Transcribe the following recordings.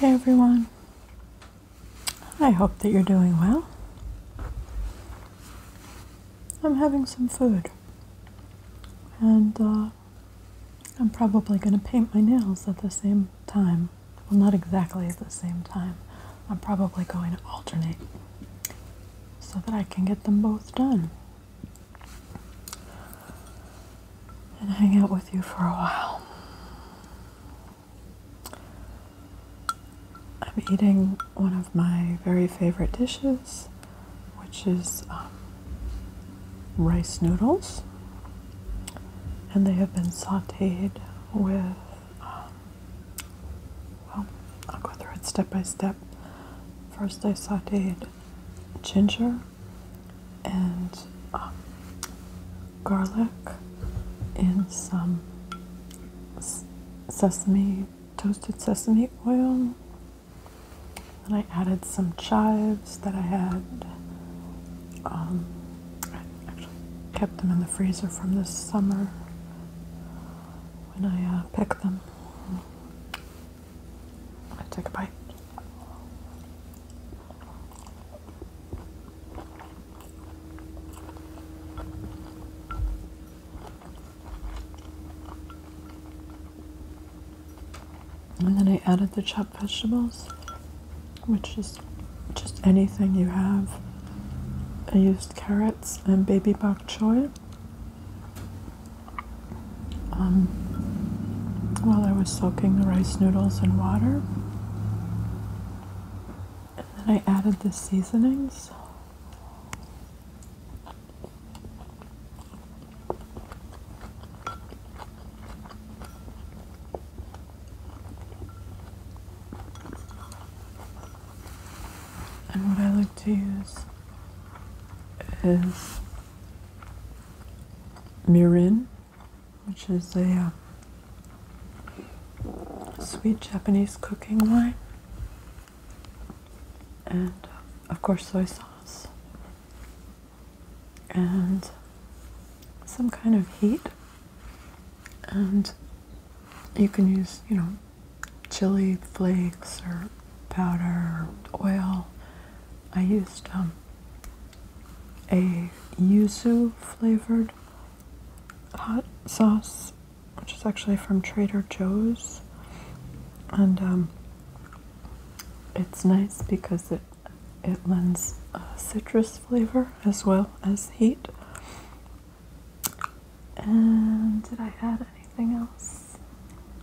Hey everyone. I hope that you're doing well. I'm having some food. And uh, I'm probably going to paint my nails at the same time. Well, not exactly at the same time. I'm probably going to alternate so that I can get them both done and hang out with you for a while. I'm eating one of my very favorite dishes, which is um, rice noodles, and they have been sauteed with. Um, well, I'll go through it step by step. First, I sauteed ginger and um, garlic and some sesame, toasted sesame oil. And I added some chives that I had. Um, kept them in the freezer from this summer when I uh, picked them. I take a bite. And then I added the chopped vegetables, which is just anything you have. I used carrots and baby bok choy. Um, while I was soaking the rice noodles in water. And then I added the seasonings. And what I like to use is mirin which is a uh, sweet Japanese cooking wine, and uh, of course soy sauce, and some kind of heat, and you can use you know chili flakes or powder or oil I used um, a yuzu flavored hot sauce, which is actually from Trader Joe's, and um, it's nice because it it lends citrus flavor as well as heat. And did I add anything else?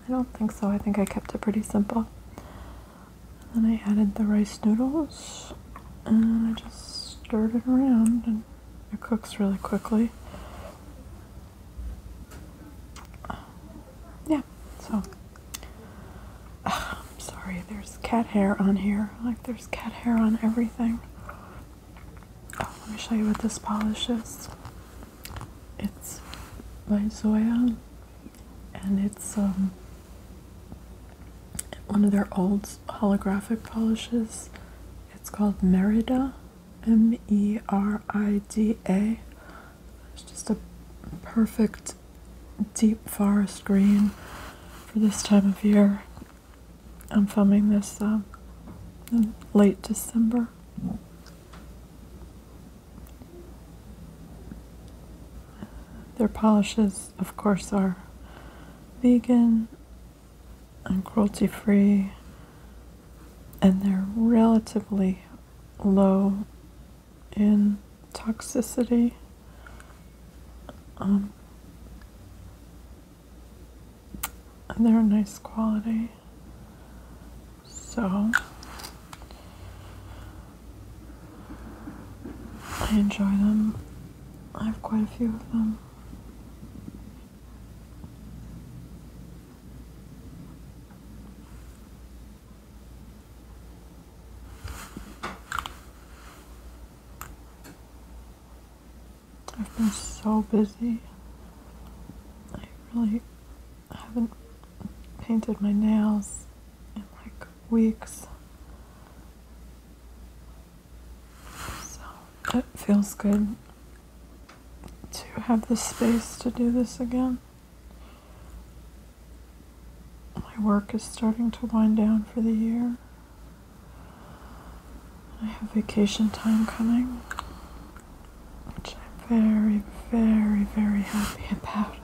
I don't think so. I think I kept it pretty simple then I added the rice noodles and I just stirred it around and it cooks really quickly. Yeah, so I'm sorry, there's cat hair on here. Like there's cat hair on everything. Oh, let me show you what this polish is. It's by Zoya and it's um, one of their old holographic polishes. It's called Merida, M E R I D A. It's just a perfect deep forest green for this time of year. I'm filming this uh, in late December. Their polishes, of course, are vegan and cruelty free, and they're relatively low in toxicity. Um, and they're a nice quality. So I enjoy them. I have quite a few of them. I've been so busy. I really haven't painted my nails in like weeks. So it feels good to have the space to do this again. My work is starting to wind down for the year. I have vacation time coming which I'm very, very, very happy about.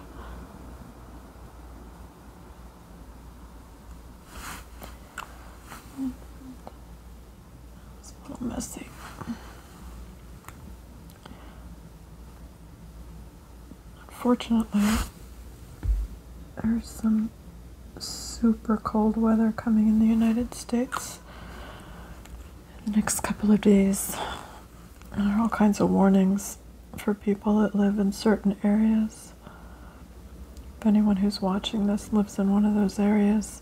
It's a little messy. Unfortunately, there's some super cold weather coming in the United States in the next couple of days there are all kinds of warnings for people that live in certain areas. If anyone who's watching this lives in one of those areas,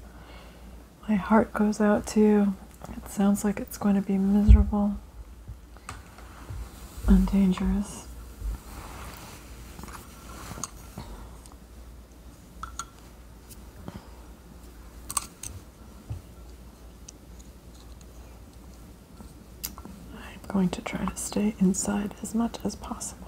my heart goes out to you. It sounds like it's going to be miserable and dangerous. I'm going to try to stay inside as much as possible.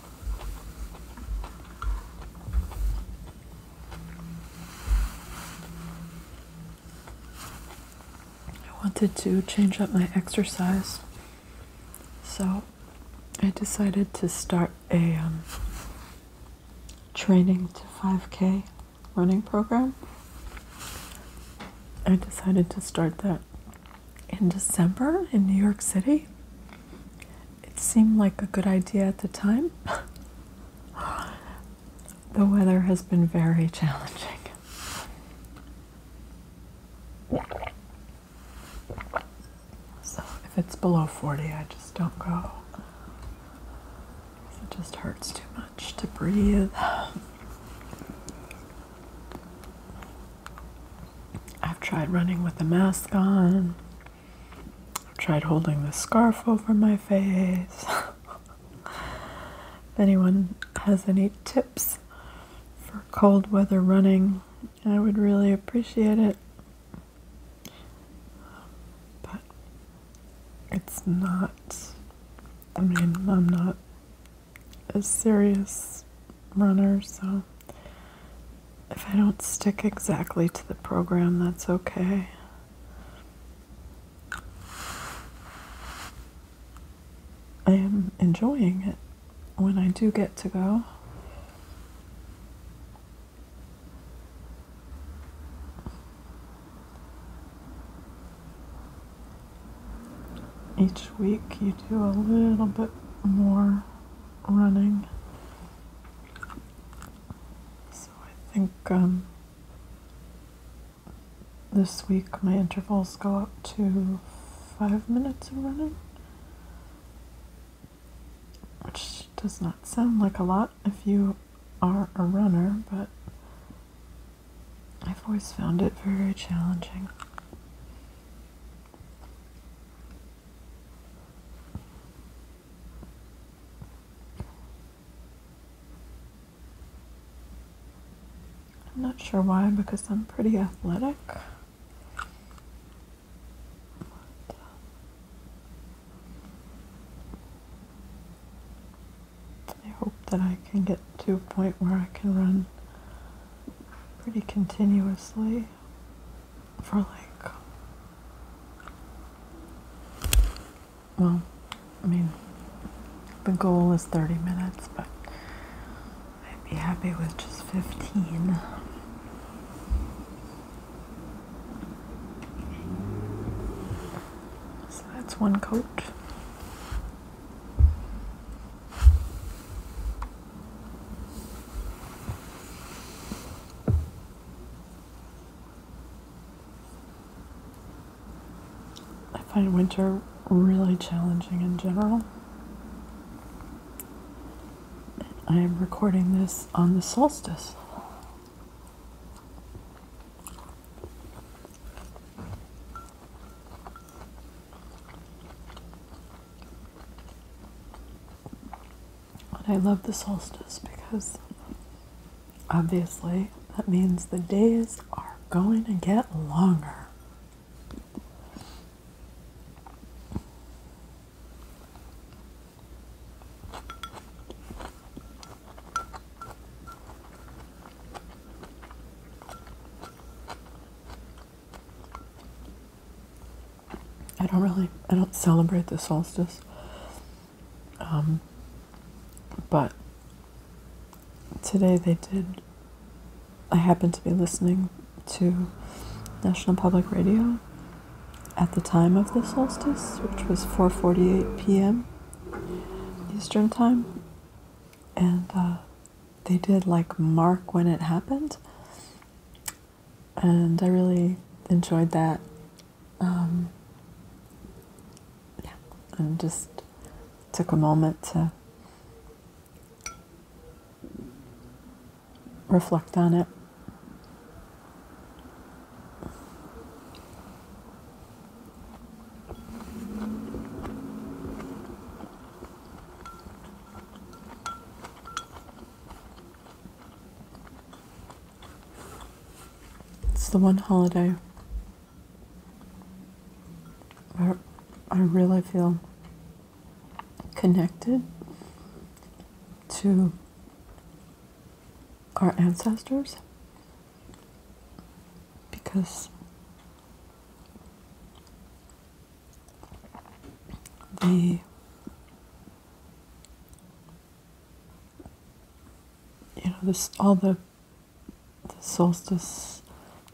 I wanted to change up my exercise, so I decided to start a um, training to 5K running program. I decided to start that in December in New York City. It seemed like a good idea at the time. the weather has been very challenging. So if it's below 40, I just don't go. It just hurts too much to breathe. I've tried running with a mask on. I've tried holding the scarf over my face. if anyone has any tips for cold weather running, I would really appreciate it. But it's not, I mean, I'm not a serious runner, so if I don't stick exactly to the program, that's okay. I am enjoying it when I do get to go. Each week you do a little bit more running. So I think um, this week my intervals go up to five minutes of running, which does not sound like a lot if you are a runner, but I've always found it very challenging. I'm not sure why, because I'm pretty athletic. I hope that I can get to a point where I can run pretty continuously for like, well, I mean, the goal is 30 minutes, but I'd be happy with just 15. So that's one coat. I find winter really challenging in general. I am recording this on the solstice. And I love the solstice because obviously that means the days are going to get longer. I don't really, I don't celebrate the solstice. Um, but today they did, I happened to be listening to National Public Radio at the time of the solstice, which was 4:48 p.m. Eastern time, and uh, they did like mark when it happened, and I really enjoyed that. Um, yeah, and just took a moment to reflect on it. It's the one holiday where I really feel connected to our ancestors because the you know this all the, the solstice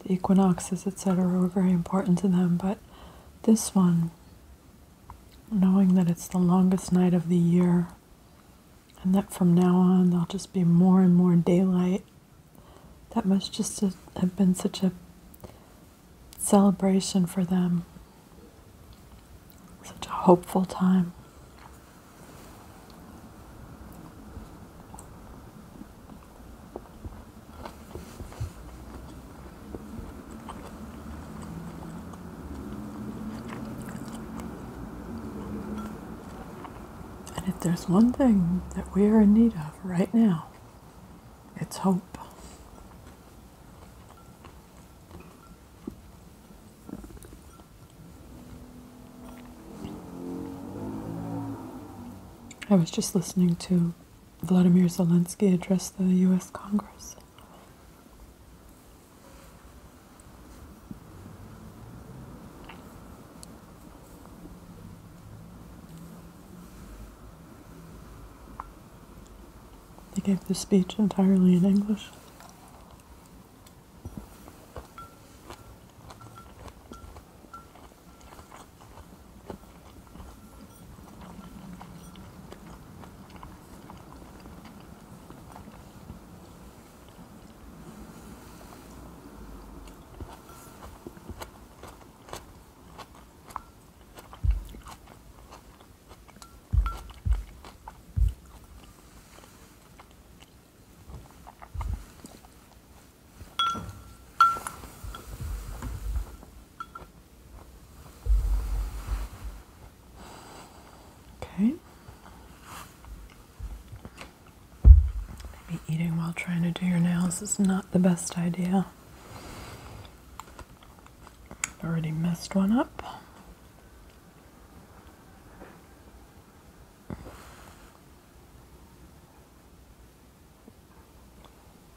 the equinoxes etc were very important to them but this one knowing that it's the longest night of the year and that from now on there'll just be more and more daylight that must just have been such a celebration for them. Such a hopeful time. And if there's one thing that we are in need of right now, it's hope. I was just listening to Vladimir Zelensky address the US Congress. He gave the speech entirely in English. Okay. Maybe eating while trying to do your nails is not the best idea. I've already messed one up.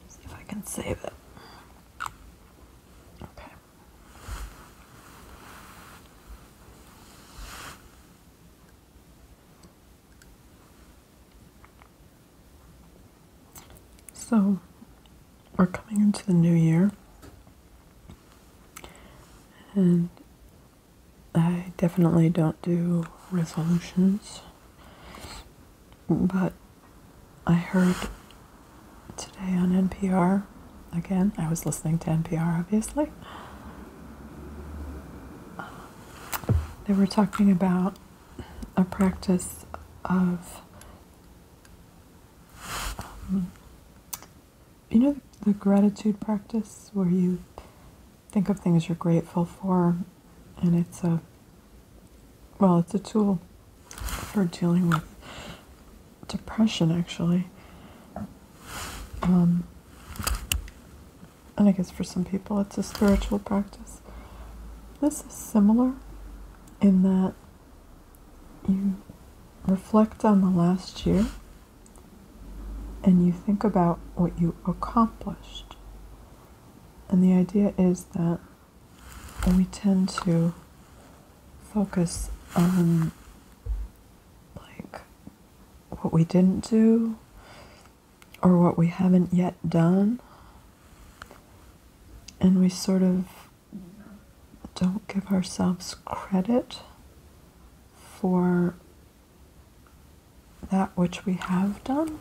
See if I can save it. Okay. So, we're coming into the new year, and I definitely don't do resolutions, but I heard today on NPR again. I was listening to NPR, obviously. They were talking about a practice of, um, you know, the gratitude practice where you think of things you're grateful for, and it's a, well, it's a tool for dealing with depression, actually. Um, and I guess for some people it's a spiritual practice. This is similar in that you reflect on the last year and you think about what you accomplished. And the idea is that we tend to focus on like what we didn't do, or what we haven't yet done, and we sort of don't give ourselves credit for that which we have done.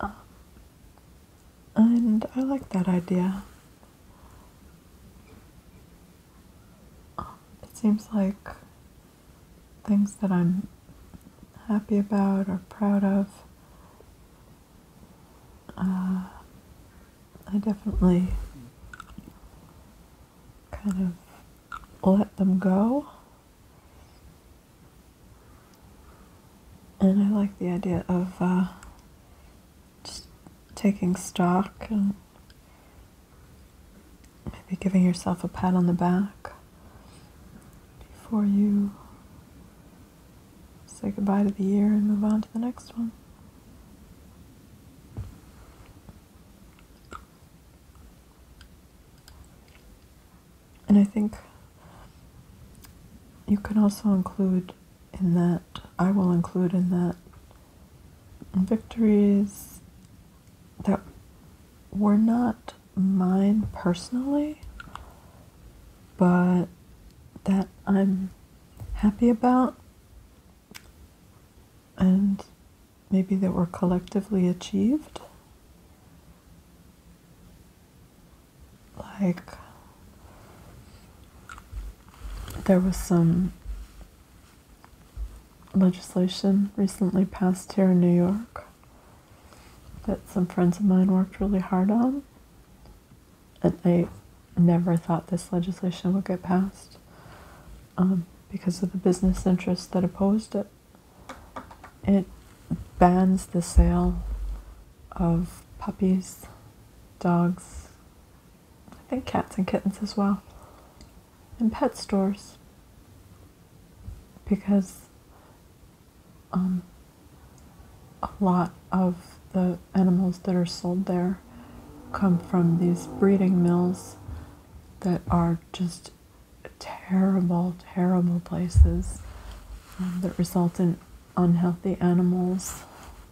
Um, and I like that idea. Um, it seems like things that I'm happy about or proud of. Uh, I definitely kind of let them go. And I like the idea of uh, just taking stock and Maybe giving yourself a pat on the back before you say goodbye to the year and move on to the next one. And I think you can also include in that, I will include in that victories that were not mine personally, but that I'm happy about and maybe that were collectively achieved. Like, there was some legislation recently passed here in New York that some friends of mine worked really hard on. And I never thought this legislation would get passed um, because of the business interests that opposed it. It bans the sale of puppies, dogs, I think cats and kittens as well, and pet stores because um, a lot of the animals that are sold there come from these breeding mills that are just terrible, terrible places um, that result in unhealthy animals,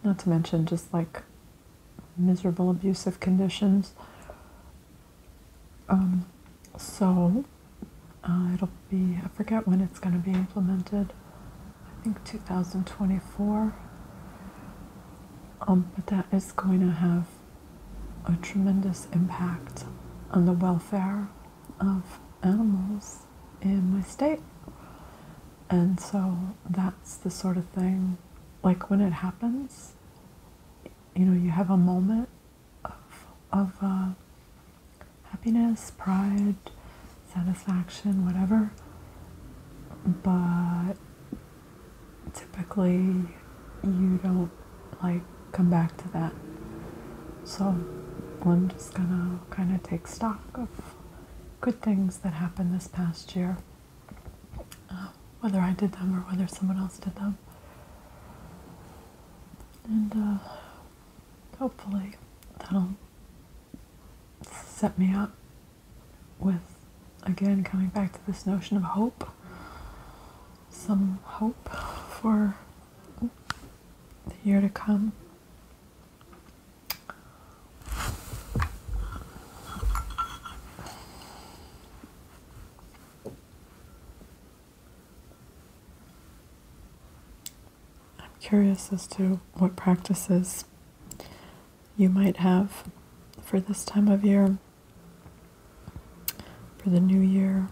not to mention just like miserable, abusive conditions. Um, so uh, it'll be, I forget when it's going to be implemented, I think 2024. Um, but that is going to have a tremendous impact on the welfare of animals in my state. And so that's the sort of thing, like when it happens, you know, you have a moment of, of uh, happiness, pride, satisfaction, whatever. But typically, you don't like come back to that. So I'm just gonna kind of take stock of good things that happened this past year whether I did them or whether someone else did them. And uh, hopefully that'll set me up with again coming back to this notion of hope some hope for the year to come. I'm curious as to what practices you might have for this time of year, for the new year.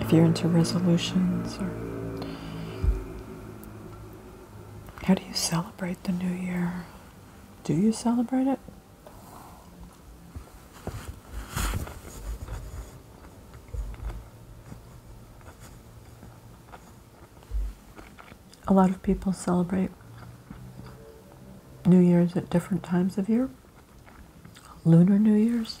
If you're into resolutions or how do you celebrate the new year? Do you celebrate it? A lot of people celebrate New Year's at different times of year. Lunar New Year's,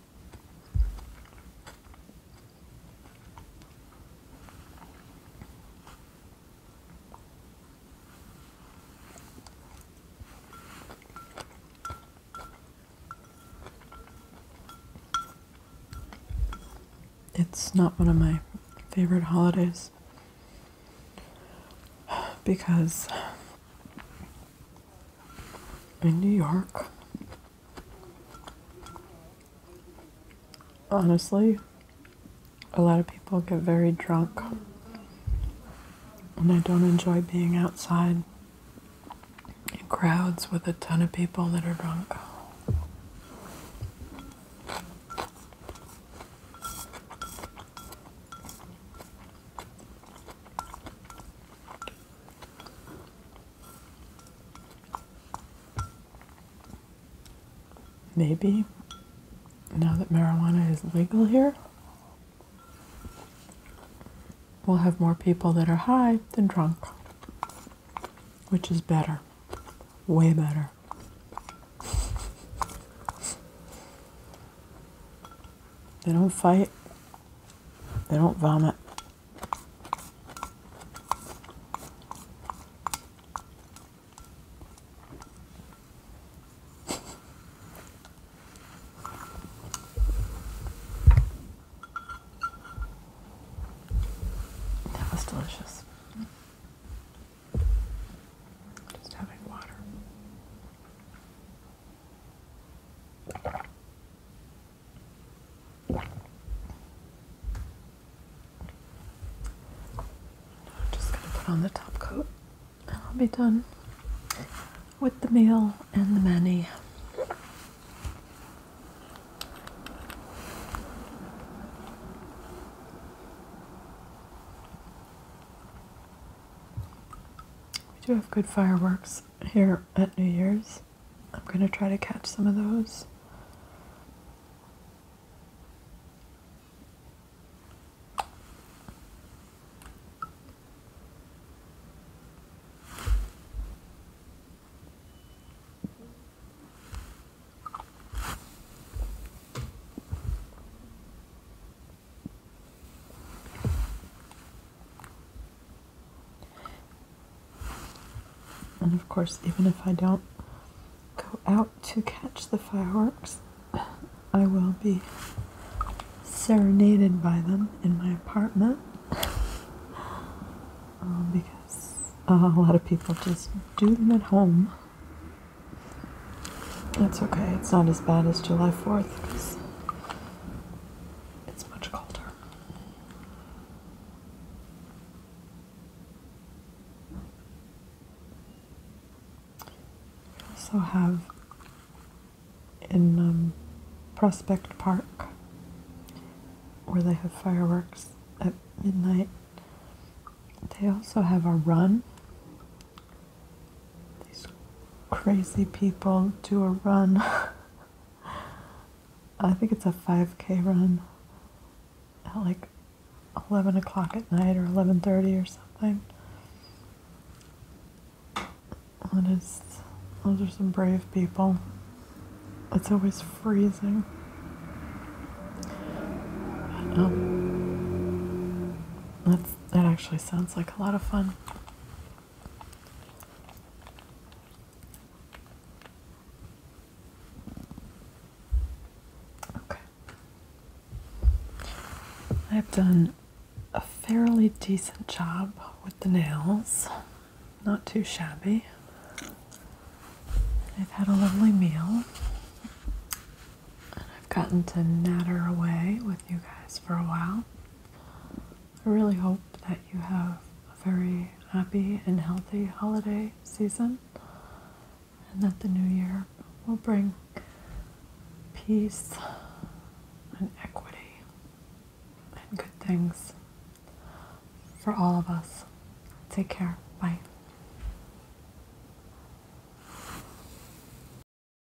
It's not one of my favorite holidays because in New York. Honestly, a lot of people get very drunk and I don't enjoy being outside in crowds with a ton of people that are drunk. Maybe now that marijuana is legal here, we'll have more people that are high than drunk, which is better, way better. They don't fight, they don't vomit. That was delicious. Just having water. I'm just going to put on the top coat and I'll be done with the meal and the mani. We do have good fireworks here at New Year's. I'm going to try to catch some of those. And of course, even if I don't go out to catch the fireworks, I will be serenaded by them in my apartment um, because uh, a lot of people just do them at home. That's okay, it's not as bad as July 4th. It's much colder. We also have in um, Prospect Park where they have fireworks at midnight. They also have a run these crazy people do a run. I think it's a 5k run at like 11 o'clock at night or 11.30 or something. That is, those are some brave people. It's always freezing. Um, that actually sounds like a lot of fun. Okay. I've done a fairly decent job with the nails. Not too shabby. I've had a lovely meal. And I've gotten to natter away with you guys for a while. I really hope that you have a very happy and healthy holiday season and that the new year will bring peace and equity and good things for all of us. Take care. Bye.